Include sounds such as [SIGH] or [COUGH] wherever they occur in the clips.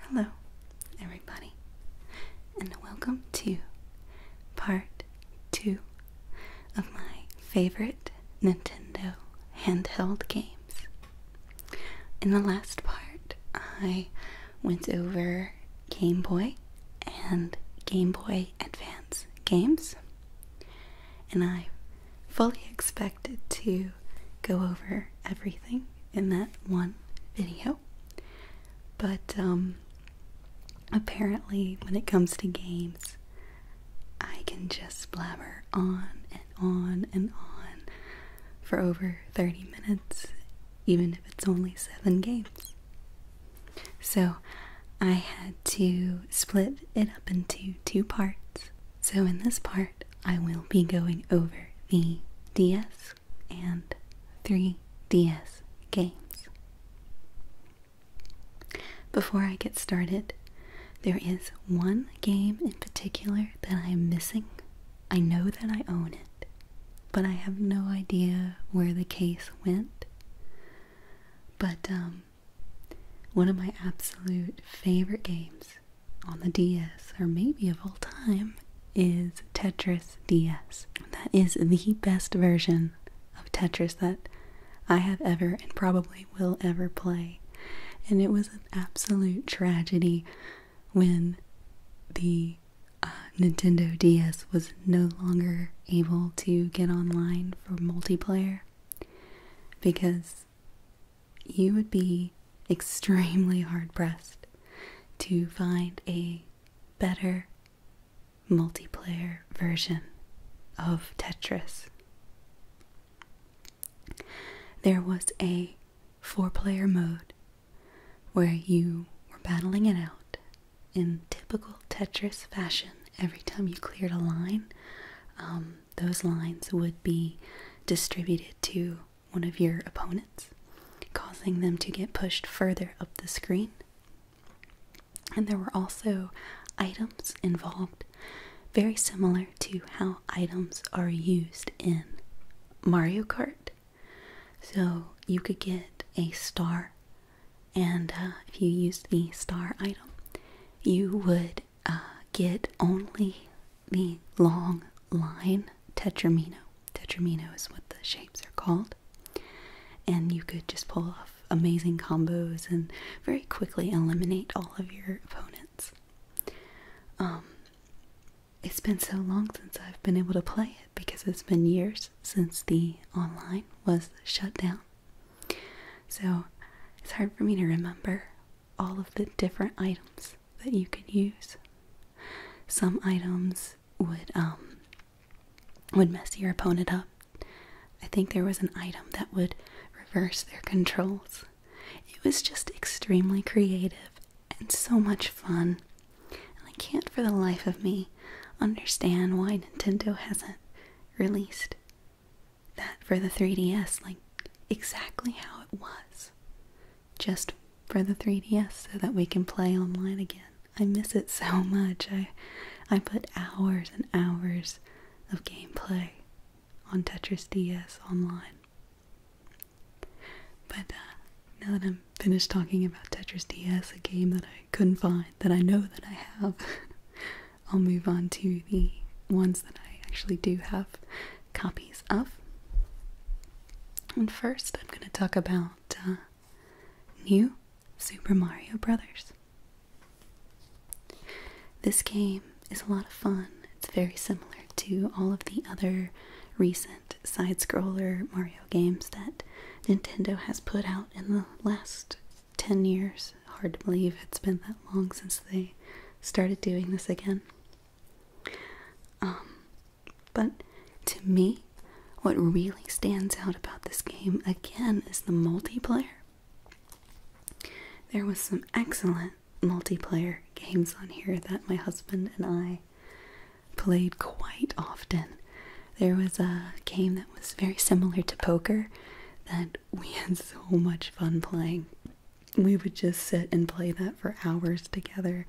Hello, everybody, and welcome to part two of my favorite Nintendo handheld games. In the last part, I went over Game Boy and Game Boy Advance games, and I fully expected to go over everything in that one video. But um, apparently, when it comes to games, I can just blabber on and on and on for over 30 minutes, even if it's only seven games. So I had to split it up into two parts. So in this part, I will be going over the DS and 3DS games. Before I get started, there is one game in particular that I am missing. I know that I own it, but I have no idea where the case went. But um, one of my absolute favorite games on the DS, or maybe of all time, is Tetris DS. That is the best version of Tetris that I have ever and probably will ever play. And it was an absolute tragedy when the uh, Nintendo DS was no longer able to get online for multiplayer because you would be extremely hard pressed to find a better multiplayer version of Tetris. There was a four player mode where you were battling it out in typical Tetris fashion, every time you cleared a line, um, those lines would be distributed to one of your opponents, causing them to get pushed further up the screen. And there were also items involved, very similar to how items are used in Mario Kart. So you could get a star and uh, if you used the star item, you would uh, get only the long line tetramino. Tetramino is what the shapes are called, and you could just pull off amazing combos and very quickly eliminate all of your opponents. Um, it's been so long since I've been able to play it because it's been years since the online was shut down. So it's hard for me to remember all of the different items that you could use. Some items would um would mess your opponent up. I think there was an item that would reverse their controls. It was just extremely creative and so much fun. And I can't for the life of me understand why Nintendo hasn't released that for the 3DS, like exactly how it was. Just for the 3DS so that we can play online again. I miss it so [LAUGHS] much. I I put hours and hours of gameplay on Tetris DS online. But uh, now that I'm um, finish talking about Tetris DS, a game that I couldn't find, that I know that I have, [LAUGHS] I'll move on to the ones that I actually do have copies of. And first, I'm going to talk about uh, New Super Mario Bros. This game is a lot of fun. It's very similar to all of the other recent side scroller Mario games that Nintendo has put out in the last 10 years. Hard to believe it's been that long since they started doing this again. Um, but to me, what really stands out about this game again is the multiplayer. There was some excellent multiplayer games on here that my husband and I played quite often. There was a game that was very similar to poker that we had so much fun playing. We would just sit and play that for hours together,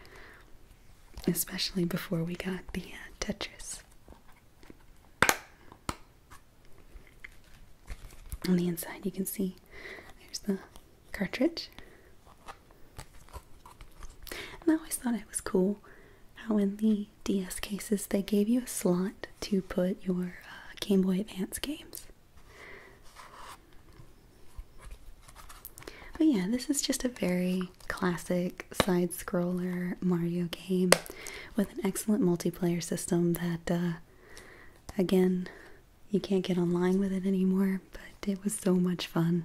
especially before we got the uh, Tetris. On the inside, you can see there's the cartridge. I always thought it was cool how in the DS cases, they gave you a slot to put your uh, Game Boy Advance games. But yeah, this is just a very classic side scroller Mario game with an excellent multiplayer system that, uh, again, you can't get online with it anymore, but it was so much fun.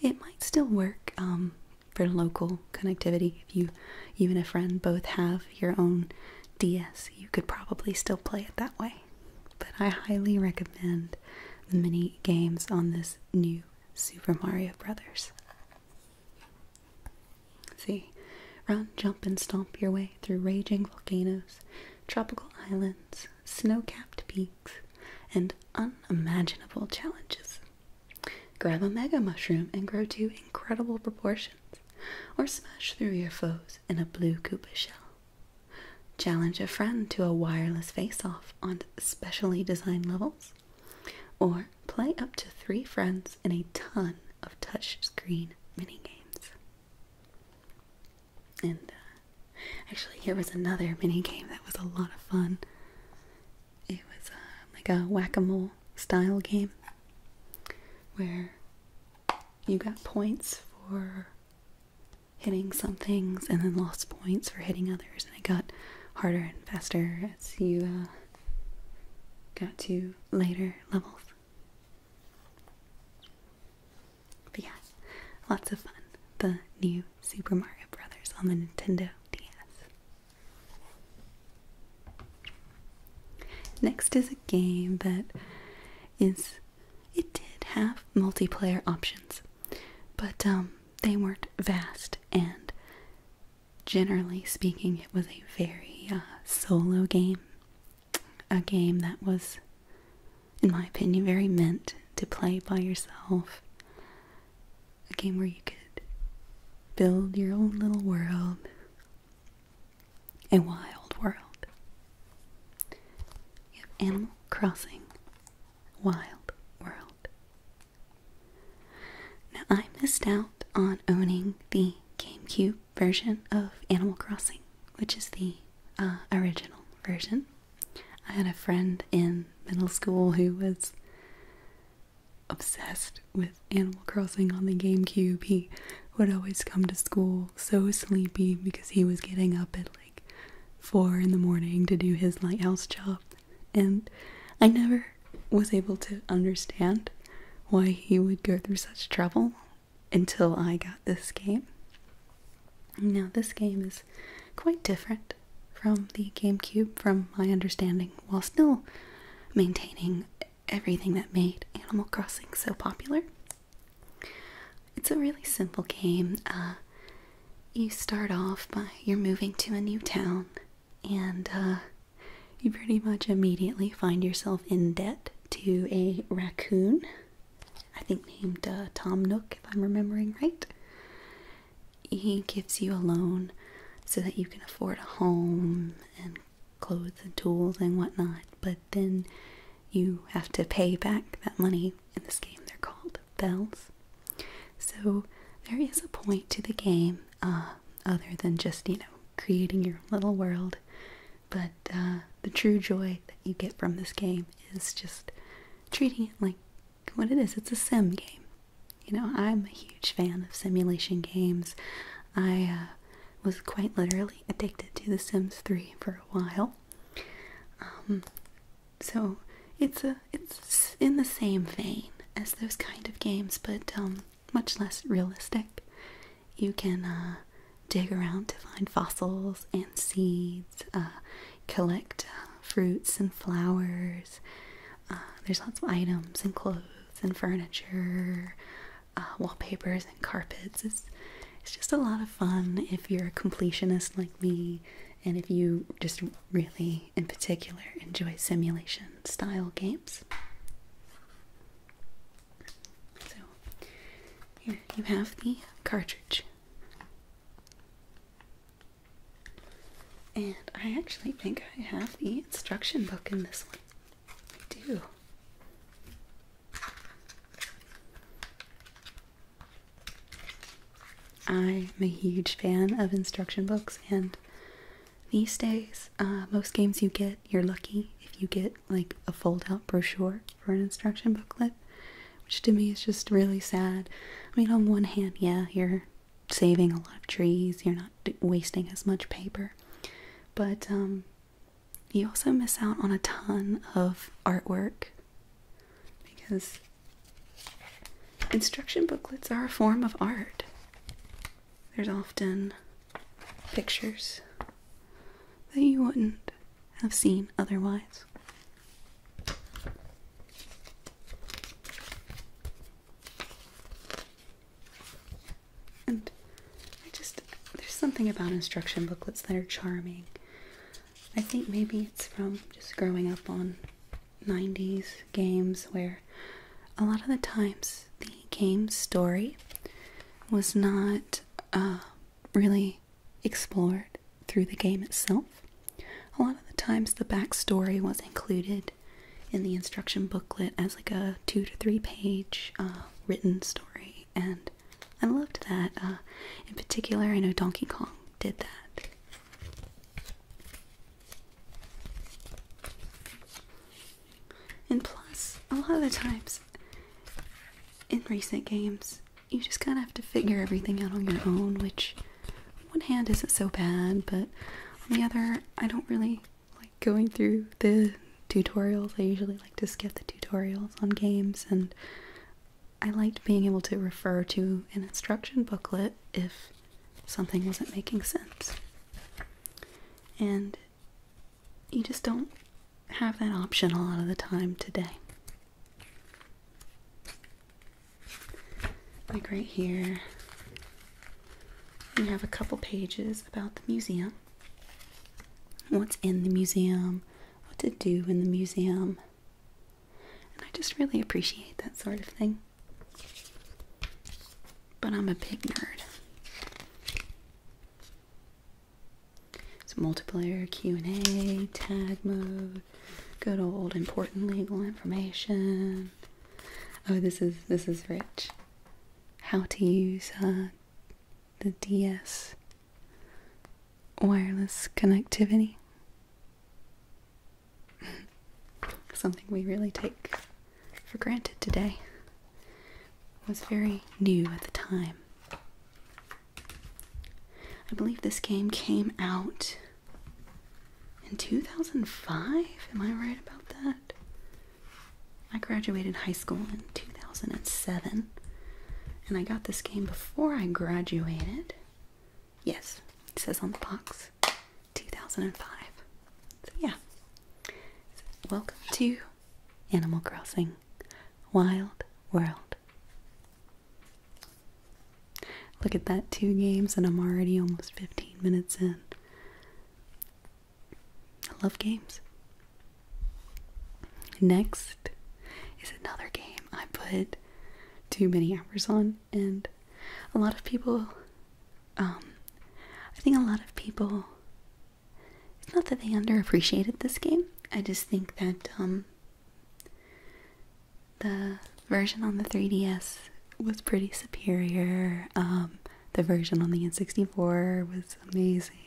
It might still work um, for local connectivity. If you, even a friend both have your own DS, you could probably still play it that way. But I highly recommend the mini games on this new Super Mario Brothers. see, run, jump, and stomp your way through raging volcanoes, tropical islands, snow capped peaks, and unimaginable challenges. Grab a mega mushroom and grow to incredible proportions, or smash through your foes in a blue Koopa shell. Challenge a friend to a wireless face off on specially designed levels, or play up to three friends in a ton of touchscreen minigames. And uh, actually, here was another minigame that was a lot of fun it was uh, like a whack-a-mole style game where you got points for hitting some things and then lost points for hitting others and it got harder and faster as you uh, got to later levels but yeah lots of fun the new Super Mario Brothers on the Nintendo DS. Next is a game that is it did have multiplayer options, but um, they weren't vast and generally speaking it was a very uh, solo game. A game that was in my opinion very meant to play by yourself a game where you could build your own little world, a wild world. You have Animal Crossing Wild World. Now, I missed out on owning the GameCube version of Animal Crossing, which is the uh, original version. I had a friend in middle school who was obsessed with Animal Crossing on the GameCube. He would always come to school so sleepy because he was getting up at like four in the morning to do his lighthouse job, and I never was able to understand why he would go through such trouble until I got this game. Now, this game is quite different from the GameCube, from my understanding, while still maintaining everything that made Animal Crossing so popular. It's a really simple game. Uh, you start off by you're moving to a new town, and uh, you pretty much immediately find yourself in debt to a raccoon, I think named uh, Tom Nook, if I'm remembering right he gives you a loan so that you can afford a home and clothes and tools and whatnot, but then you have to pay back that money. In this game, they're called bells. So there is a point to the game, uh, other than just, you know, creating your little world. But uh, the true joy that you get from this game is just treating it like what it is. It's a sim game. You know, I'm a huge fan of simulation games. I uh, was quite literally addicted to The Sims 3 for a while. Um, so it's a it's in the same vein as those kind of games, but um, much less realistic. You can uh, dig around to find fossils and seeds. Uh, collect uh, fruits and flowers. Uh, there's lots of items and clothes and furniture, uh, wallpapers and carpets. It's, it's just a lot of fun if you're a completionist like me and if you just really, in particular, enjoy simulation style games. So, here you have the cartridge. And I actually think I have the instruction book in this one. I do. I'm a huge fan of instruction books, and these days, uh, most games you get, you're lucky if you get like a foldout brochure for an instruction booklet which to me is just really sad. I mean, on one hand, yeah, you're saving a lot of trees, you're not wasting as much paper, but um, you also miss out on a ton of artwork because instruction booklets are a form of art. There's often pictures that you wouldn't have seen otherwise. And I just, there's something about instruction booklets that are charming. I think maybe it's from just growing up on 90s games where a lot of the times the game story was not uh, really explored through the game itself. A lot of the times, the backstory was included in the instruction booklet as like a two to three page uh, written story, and I loved that. Uh, in particular, I know Donkey Kong did that. And plus, a lot of the times in recent games, you just kind of have to figure everything out on your own, which one hand isn't so bad, but on the other, I don't really like going through the tutorials. I usually like to skip the tutorials on games, and I liked being able to refer to an instruction booklet if something wasn't making sense. And you just don't have that option a lot of the time today. Like right here, you have a couple pages about the museum. What's in the museum, what to do in the museum. And I just really appreciate that sort of thing. But I'm a big nerd. So multiplayer, Q&A, tag mode, Good old important legal information. Oh, this is this is rich. How to use uh, the DS wireless connectivity. [LAUGHS] Something we really take for granted today was very new at the time. I believe this game came out in 2005. Am I right about that? I graduated high school in 2007 and I got this game before I graduated. Yes, it says on the box 2005. So, yeah. welcome to Animal Crossing Wild World. Look at that, two games, and I'm already almost 15 minutes in. I love games. Next is another game I put too many hours on, and a lot of people, um, I think a lot of people, it's not that they underappreciated this game, I just think that, um, the version on the 3DS was pretty superior. Um, the version on the N64 was amazing.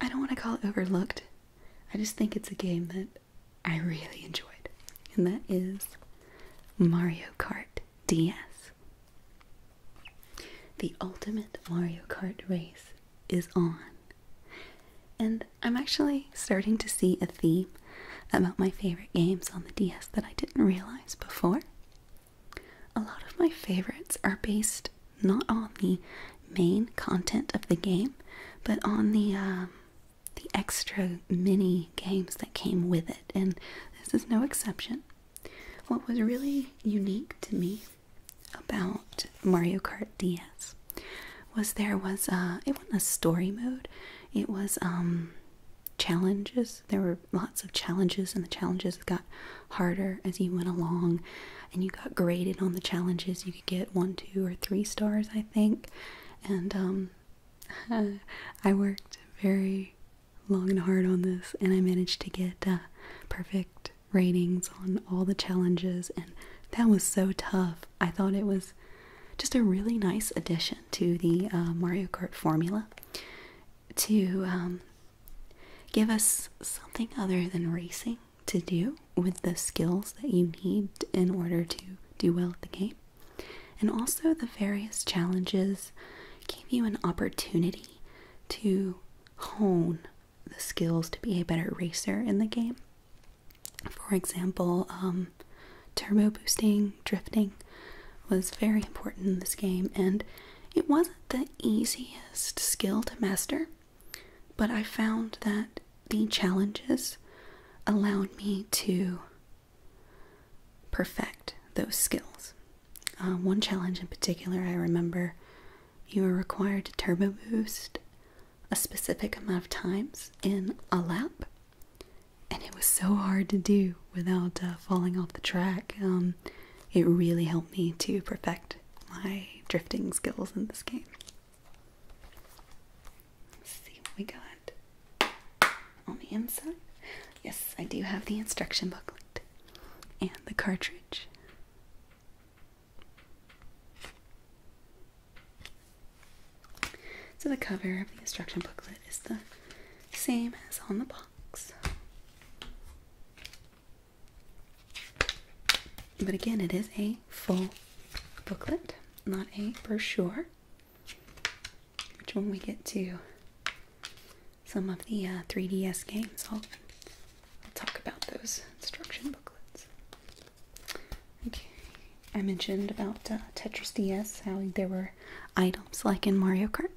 I don't want to call it overlooked. I just think it's a game that I really enjoyed. And that is Mario Kart DS. The ultimate Mario Kart race is on. And I'm actually starting to see a theme about my favorite games on the DS that I didn't realize before. A lot of my favorites are based not on the main content of the game, but on the um, the extra mini games that came with it, and this is no exception. What was really unique to me about Mario Kart DS was there was uh it wasn't a story mode. It was um challenges. There were lots of challenges and the challenges got harder as you went along and you got graded on the challenges. You could get one, two or three stars I think. And um [LAUGHS] I worked very long and hard on this and I managed to get uh perfect ratings on all the challenges, and that was so tough. I thought it was just a really nice addition to the uh, Mario Kart formula to um, give us something other than racing to do with the skills that you need in order to do well at the game. And also, the various challenges gave you an opportunity to hone the skills to be a better racer in the game. For example, um, turbo boosting, drifting was very important in this game, and it wasn't the easiest skill to master, but I found that the challenges allowed me to perfect those skills. Uh, one challenge in particular I remember you are required to turbo boost a specific amount of times in a lap. And it was so hard to do without uh, falling off the track. Um, it really helped me to perfect my drifting skills in this game. see what we got on the inside. Yes, I do have the instruction booklet and the cartridge. So the cover of the instruction booklet is the same as on the box. But again, it is a full booklet, not a brochure, which when we get to some of the 3DS uh, games, I'll talk about those instruction booklets. Okay, I mentioned about uh, Tetris DS, how there were items like in Mario Kart.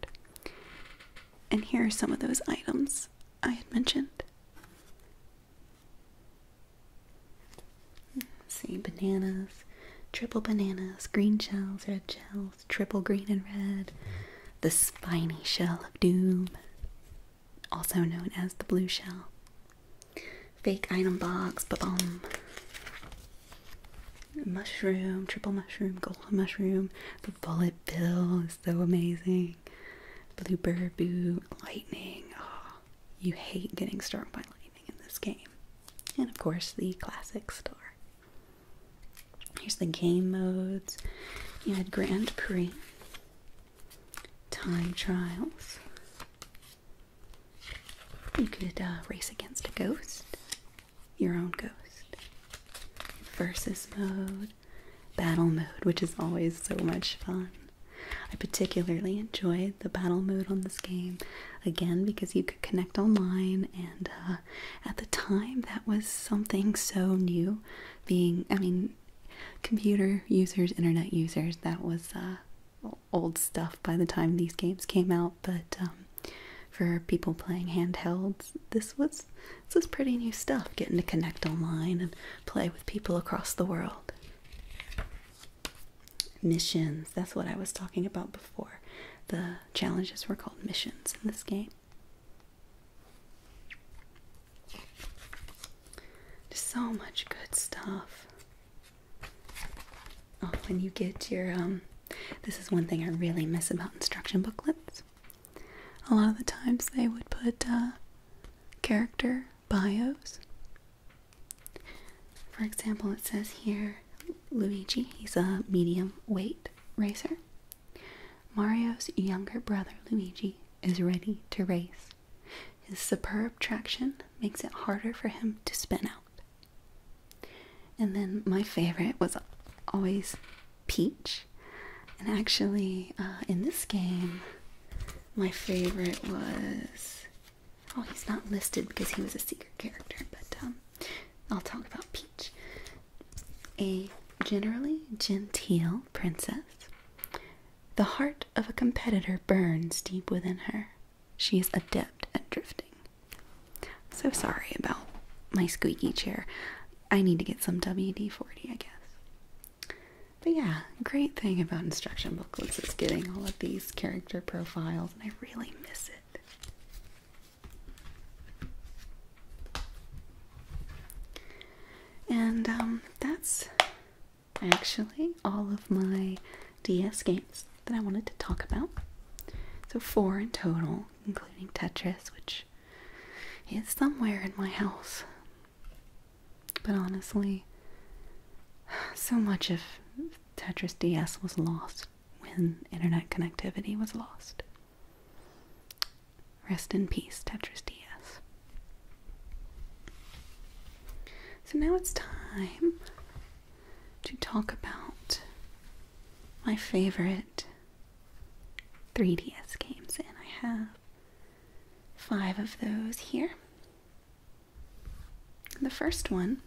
And here are some of those items I had mentioned. see, bananas, triple bananas, green shells, red shells, triple green and red, the spiny shell of doom, also known as the blue shell. Fake item box, ba bum. Mushroom, triple mushroom, golden mushroom. The bullet bill is so amazing. Blue boo, lightning. Oh, you hate getting struck by lightning in this game. And of course, the classic store. Here's the game modes. You had Grand Prix, time trials. You could uh, race against a ghost, your own ghost, versus mode, battle mode, which is always so much fun. I particularly enjoyed the battle mode on this game, again, because you could connect online, and uh, at the time that was something so new. Being, I mean, computer users, internet users, that was uh, old stuff by the time these games came out. But um, for people playing handhelds, this was this was pretty new stuff. Getting to connect online and play with people across the world. Missions. That's what I was talking about before. The challenges were called missions in this game so much good stuff. Oh, when you get your um this is one thing I really miss about instruction booklets. A lot of the times they would put uh, character bios. For example, it says here Luigi, he's a medium weight racer. Mario's younger brother Luigi is ready to race. His superb traction makes it harder for him to spin out. And then my favorite was always Peach. And actually, uh, in this game, my favorite was. Oh, he's not listed because he was a secret character, but um, I'll talk about Peach. A generally genteel princess the heart of a competitor burns deep within her. She is adept at drifting. So sorry about my squeaky chair. I need to get some WD 40, I guess. But yeah, great thing about instruction booklets is getting all of these character profiles, and I really miss it. And um, that's actually all of my DS games that I wanted to talk about. So, four in total, including Tetris, which is somewhere in my house. But honestly, so much of Tetris DS was lost when internet connectivity was lost. Rest in peace, Tetris DS. So now it's time to talk about my favorite 3DS games, and I have five of those here. The first one,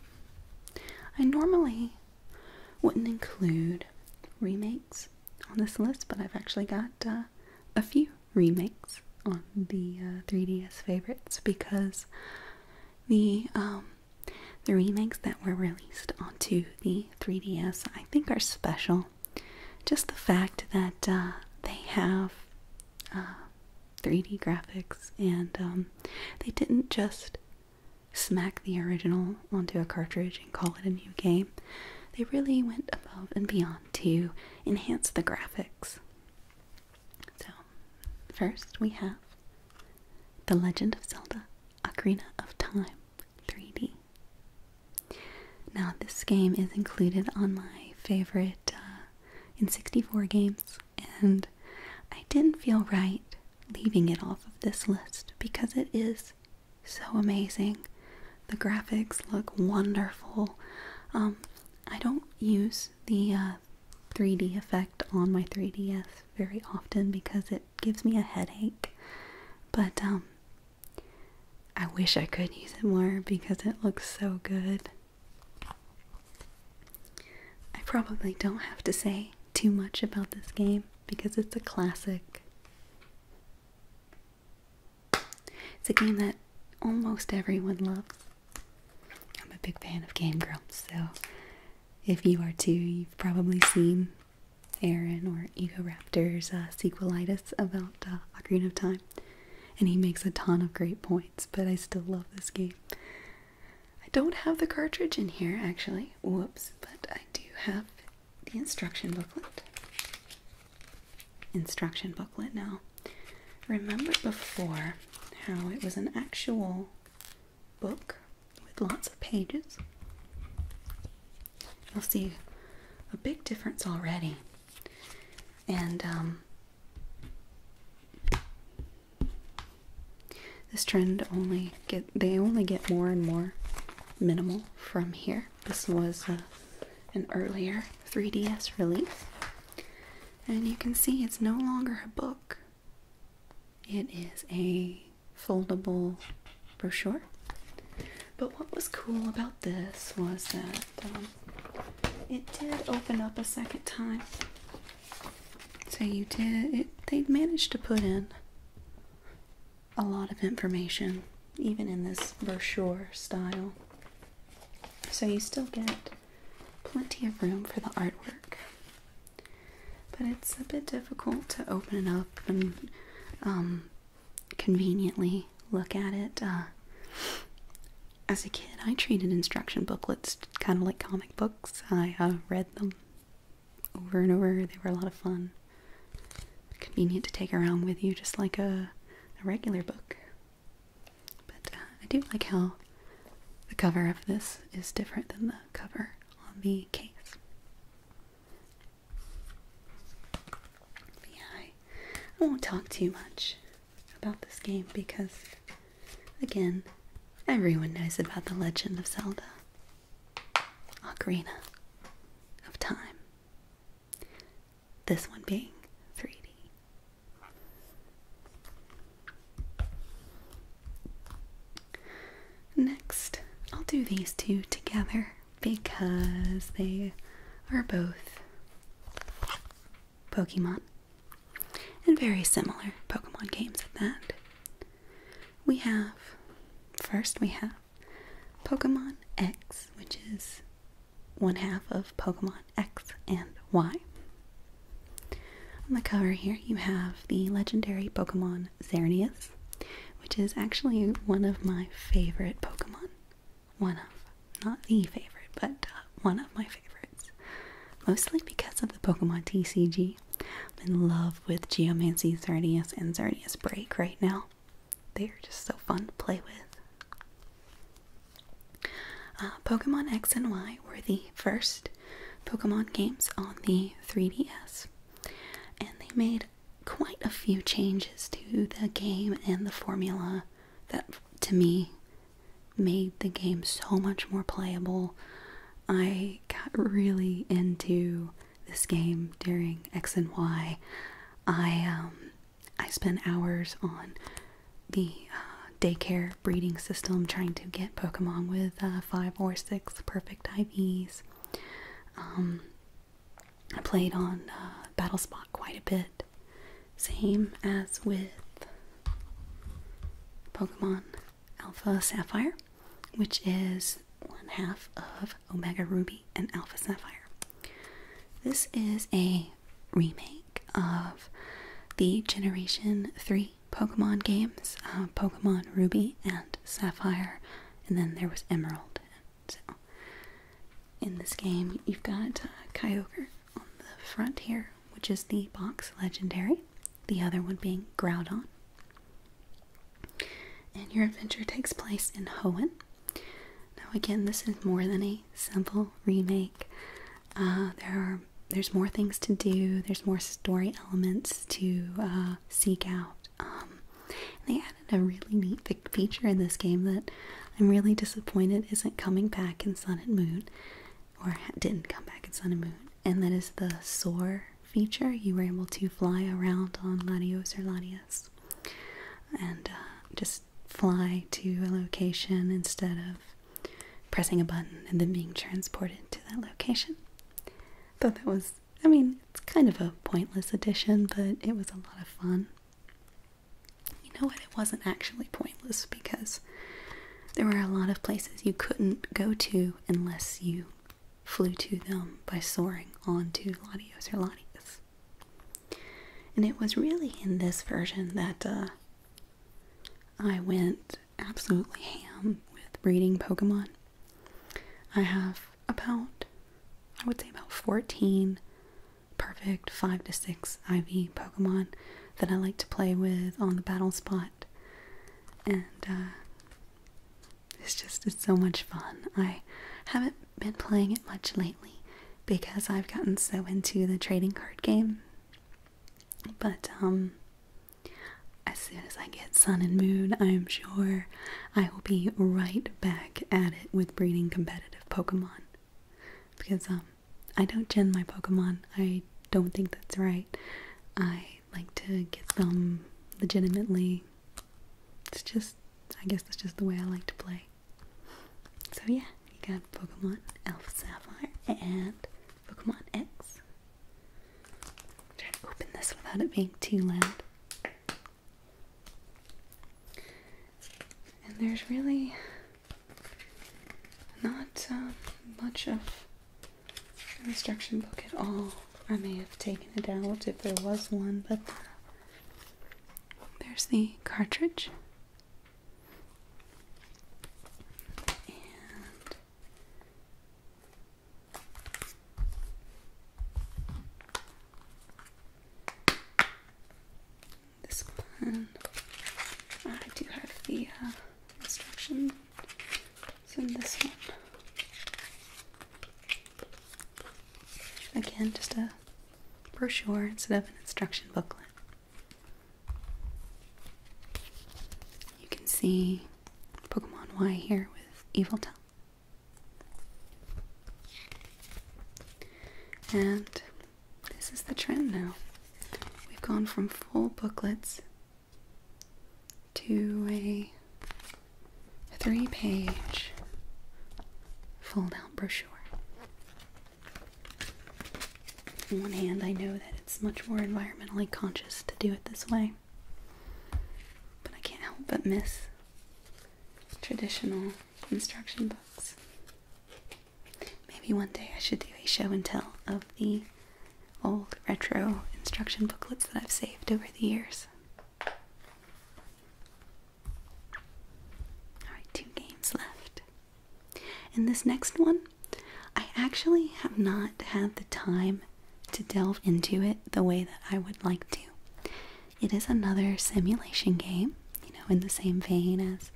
I normally wouldn't include remakes on this list, but I've actually got uh, a few remakes on the 3DS uh, favorites because the um, the remakes that were released onto the 3DS I think are special. Just the fact that uh, they have 3D uh, graphics and um, they didn't just smack the original onto a cartridge and call it a new game, they really went above and beyond to enhance the graphics. So, first we have The Legend of Zelda Ocarina of Time 3D. Now, this game is included on my favorite uh, in 64 games, and I didn't feel right leaving it off of this list because it is so amazing. The graphics look wonderful. Um, I don't use the 3D uh, effect on my 3DS very often because it gives me a headache. But um, I wish I could use it more because it looks so good. I probably don't have to say too much about this game because it's a classic. It's a game that almost everyone loves. I'm a big fan of Game Girls, so if you are too, you've probably seen Aaron or Egoraptor's uh, sequelitis about uh, Ocarina of Time, and he makes a ton of great points, but I still love this game. I don't have the cartridge in here, actually. Whoops, but I do have the instruction booklet. Instruction booklet now. Remember before how it was an actual book with lots of pages? You'll see a big difference already. And um, this trend only get they only get more and more minimal from here. This was uh, an earlier 3DS release. And you can see it's no longer a book, it is a foldable brochure. But what was cool about this was that um, it did open up a second time. So you did, it, they managed to put in a lot of information, even in this brochure style. So you still get plenty of room for the artwork. But it's a bit difficult to open it up and um, conveniently look at it. Uh, as a kid, I treated instruction booklets kind of like comic books. I uh, read them over and over, they were a lot of fun convenient to take around with you just like a, regular book. But uh, I do like how the cover of this is different than the cover on the case. yeah, I, I won't talk too much about this game because, again, everyone knows about The Legend of Zelda Ocarina of Time. This one being 3D. Next, I'll do these two together because they are both Pokemon and very similar Pokemon games at that. We have, first, we have Pokemon X, which is one half of Pokemon X and Y. On the cover here, you have the legendary Pokemon Xerneas, which is actually one of my favorite Pokemon. One of, not the favorite, but uh, one of my favorites. Mostly because of the Pokemon TCG. I'm in love with Geomancy Xerneas and Xerneas Break right now. They are just so fun to play with. Uh, Pokemon X and Y were the first Pokemon games on the 3DS, and they made quite a few changes to the game and the formula that, to me, made the game so much more playable. I got really into this game during X and Y, I um, I spent hours on the uh, daycare breeding system trying to get Pokemon with uh, five or six perfect IVs. Um, I played on uh, Battle Spot quite a bit, same as with Pokemon Alpha Sapphire which is one half of Omega Ruby and Alpha Sapphire. This is a remake of the Generation 3 Pokemon games uh, Pokemon Ruby and Sapphire, and then there was Emerald. So, in this game, you've got uh, Kyogre on the front here, which is the box legendary, the other one being Groudon. And your adventure takes place in Hoenn. Now, again, this is more than a simple remake. Uh, there are there's more things to do. There's more story elements to uh, seek out. Um, they added a really neat feature in this game that I'm really disappointed isn't coming back in Sun and Moon, or didn't come back in Sun and Moon, and that is the soar feature, you were able to fly around on Latios or Latias and uh, just fly to a location instead of pressing a button and then being transported to that location. Thought that was, I mean, it's kind of a pointless addition, but it was a lot of fun. You know what? It wasn't actually pointless because there were a lot of places you couldn't go to unless you flew to them by soaring onto Latios or Latius. And it was really in this version that uh, I went absolutely ham with breeding Pokemon. I have about, I would say, about 14 perfect 5 to 6 IV Pokemon that I like to play with on the battle spot. And uh, it's just, it's so much fun. I haven't been playing it much lately because I've gotten so into the trading card game. But, um, as soon as I get sun and moon, I'm sure I will be right back at it with breeding competitive Pokemon. Because, um, I don't gen my Pokemon. I don't think that's right. I like to get them legitimately. It's just, I guess that's just the way I like to play. So yeah, you got Pokemon Alpha Sapphire and Pokemon X. Try to open this without it being too loud. And there's really not um, much of an instruction book at all. I may have taken it out if there was one, but uh, there's the cartridge. And this one, I do have the uh, instruction. It's in this one. Again, just a brochure instead of an instruction booklet. You can see Pokemon Y here with Evil Tongue. And this is the trend now. We've gone from full booklets to a three page fold out brochure. On one hand, I know that it's much more environmentally conscious to do it this way, but I can't help but miss traditional instruction books. Maybe one day I should do a show and tell of the old retro instruction booklets that I've saved over the years. Alright, two games left. And this next one, I actually have not had the time to delve into it the way that I would like to. It is another simulation game, you know, in the same vein as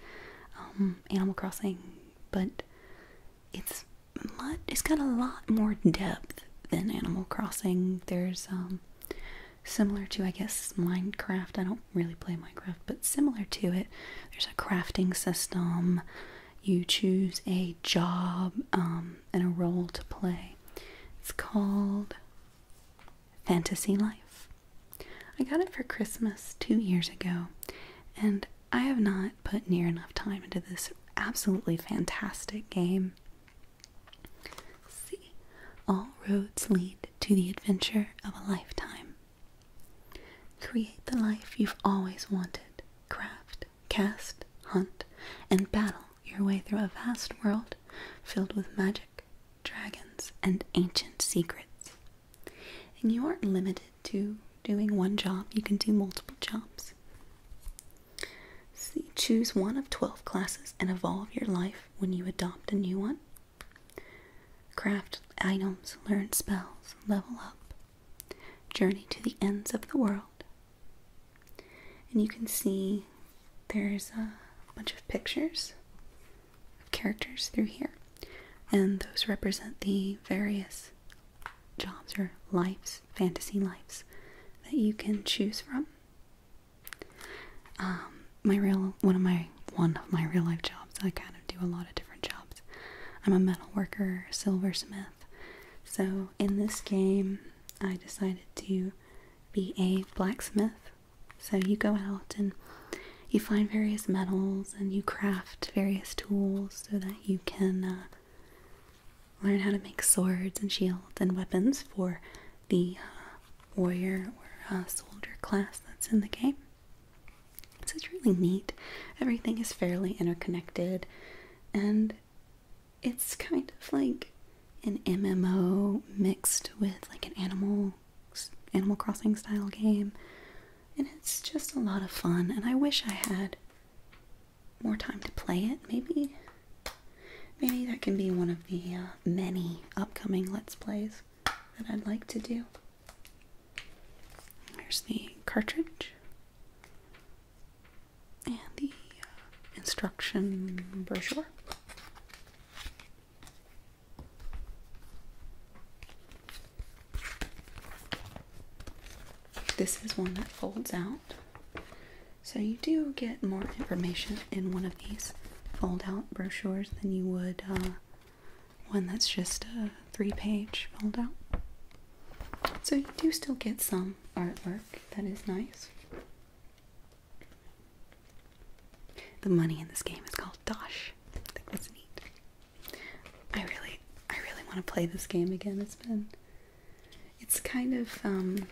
um, Animal Crossing, but it's much, it's got a lot more depth than Animal Crossing. There's um, similar to I guess Minecraft. I don't really play Minecraft, but similar to it, there's a crafting system. You choose a job um, and a role to play. It's called Fantasy Life. I got it for Christmas two years ago, and I have not put near enough time into this absolutely fantastic game. See, all roads lead to the adventure of a lifetime. Create the life you've always wanted. Craft, cast, hunt, and battle your way through a vast world filled with magic, dragons, and ancient secrets. And you aren't limited to doing one job, you can do multiple jobs. See, choose one of 12 classes and evolve your life when you adopt a new one. Craft items, learn spells, level up. Journey to the ends of the world. And you can see there's a bunch of pictures of characters through here, and those represent the various jobs or lives, fantasy lives that you can choose from. Um, my real one of my one of my real life jobs. I kind of do a lot of different jobs. I'm a metal worker, silversmith. So in this game, I decided to be a blacksmith. So you go out and you find various metals and you craft various tools so that you can uh, learn how to make swords and shields and weapons for the uh, warrior or uh, soldier class that's in the game. So it's really neat. Everything is fairly interconnected, and it's kind of like an MMO mixed with like an animal Animal Crossing style game. And it's just a lot of fun, and I wish I had more time to play it. Maybe, maybe that can be one of the uh, many upcoming Let's Plays that I'd like to do. There's the cartridge and the uh, instruction brochure. This is one that folds out. So you do get more information in one of these fold out brochures than you would uh, one that's just a three page fold out. So you do still get some artwork that is nice. The money in this game is called Dosh. I think that's neat. I really, I really want to play this game again. It's been it's kind of um,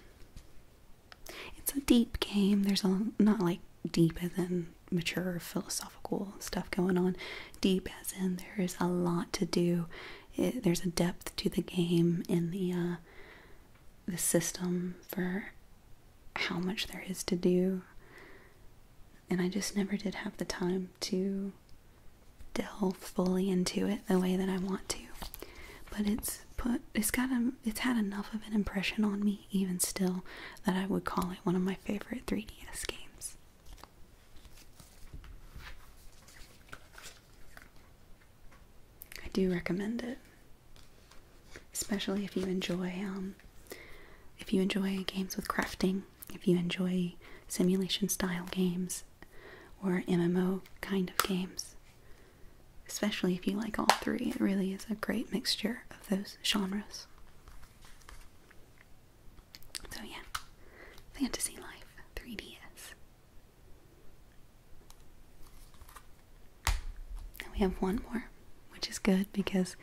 it's a deep game. There's a not like deeper than mature philosophical stuff going on. Deep as in there's a lot to do. there's a depth to the game in the uh, the system for how much there is to do. And I just never did have the time to delve fully into it the way that I want to. But it's put it's got a, it's had enough of an impression on me even still that I would call it one of my favorite 3DS games. I do recommend it. Especially if you enjoy um if you enjoy games with crafting, if you enjoy simulation style games, or MMO kind of games. Especially if you like all three, it really is a great mixture of those genres. So, yeah, Fantasy Life 3DS. And we have one more, which is good because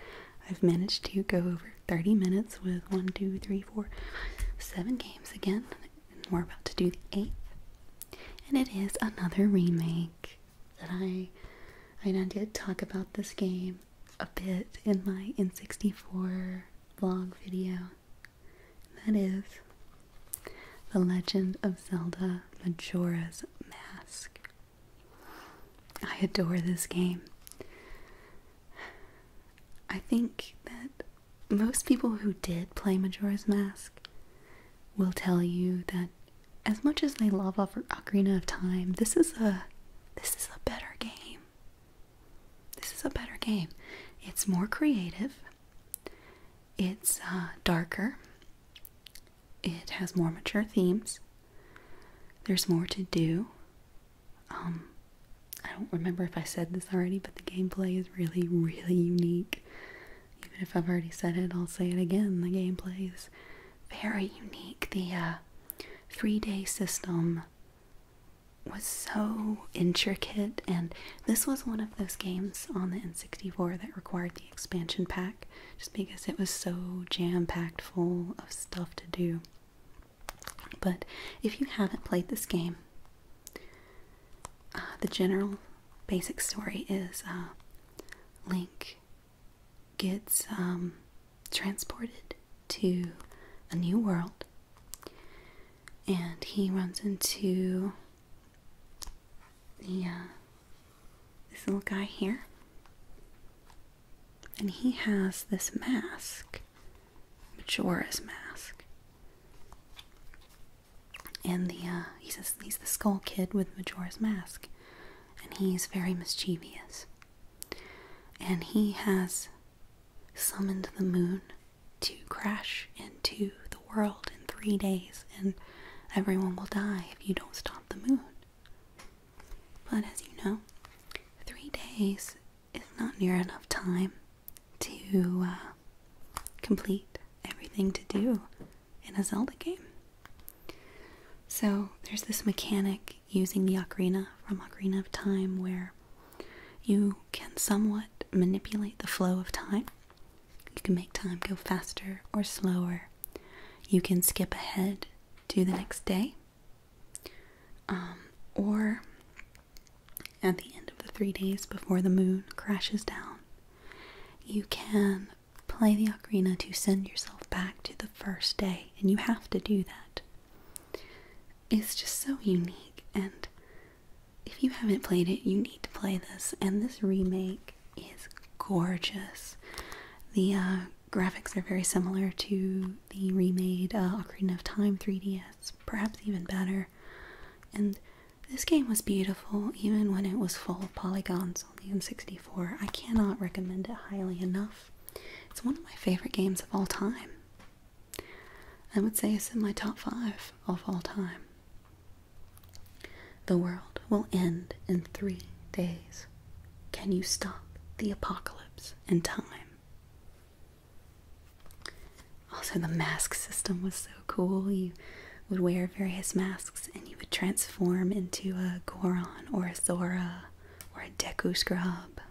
I've managed to go over 30 minutes with one, two, three, four, seven games again we're about to do the eighth. And it is another remake that I I did talk about this game a bit in my N64 vlog video. that is The Legend of Zelda Majora's Mask. I adore this game. I think that most people who did play Majora's Mask will tell you that as much as they love Ocarina of Time, this is a this is a better game. This is a better game. It's more creative. It's uh, darker. It has more mature themes. There's more to do. Um, I don't remember if I said this already, but the gameplay is really, really unique. Even if I've already said it, I'll say it again. The gameplay is very unique. The uh, three day system was so intricate, and this was one of those games on the N64 that required the expansion pack just because it was so jam packed full of stuff to do. But if you haven't played this game, uh, the general basic story is uh, Link gets um, transported to a new world and he runs into uh, this little guy here and he has this mask Majora's Mask. And the uh, he's he's the Skull Kid with Majora's Mask, and he's very mischievous. And he has summoned the moon to crash into the world in three days, and everyone will die if you don't stop the moon. But as you know, three days is not near enough time to uh, complete everything to do in a Zelda game. So there's this mechanic using the ocarina from Ocarina of Time where you can somewhat manipulate the flow of time. You can make time go faster or slower. You can skip ahead to the next day. Um, or at the end of the three days before the moon crashes down, you can play the ocarina to send yourself back to the first day, and you have to do that. It's just so unique, and if you haven't played it, you need to play this. And this remake is gorgeous. The uh, graphics are very similar to the remade uh, of Time 3DS, perhaps even better. And this game was beautiful even when it was full of polygons Only in 64 I cannot recommend it highly enough. It's one of my favorite games of all time. I would say it's in my top five of all time. The world will end in three days. Can you stop the apocalypse in time? Also, the mask system was so cool. You would wear various masks and you would transform into a Goron or a Zora or a Deku Scrub.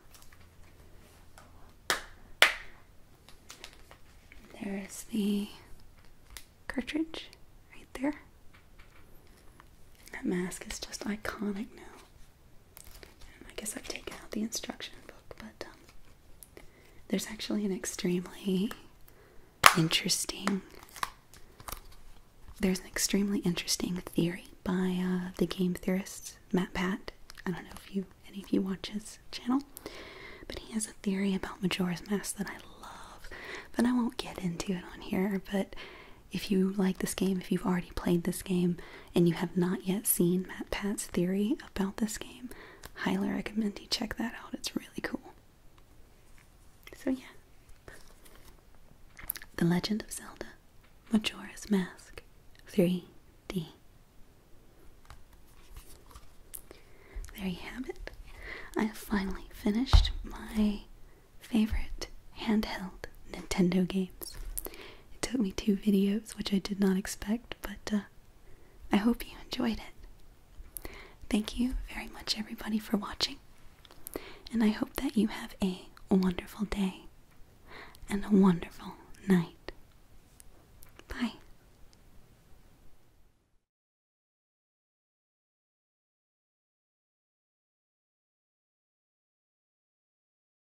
There's the cartridge right there. That mask is just iconic now. I guess I've taken out the instruction book, but um, there's actually an extremely interesting. There's an extremely interesting theory by uh, the game theorist Matt Pat. I don't know if you any of you watch his channel, but he has a theory about Majora's Mask that I love. But I won't get into it on here. But if you like this game, if you've already played this game, and you have not yet seen Matt Pat's theory about this game, highly recommend you check that out. It's really cool. So, yeah. The Legend of Zelda Majora's Mask 3D. There you have it. I have finally finished my favorite handheld Nintendo games. It took me two videos, which I did not expect, but uh, I hope you enjoyed it. Thank you very much, everybody, for watching, and I hope that you have a wonderful day and a wonderful night. Bye.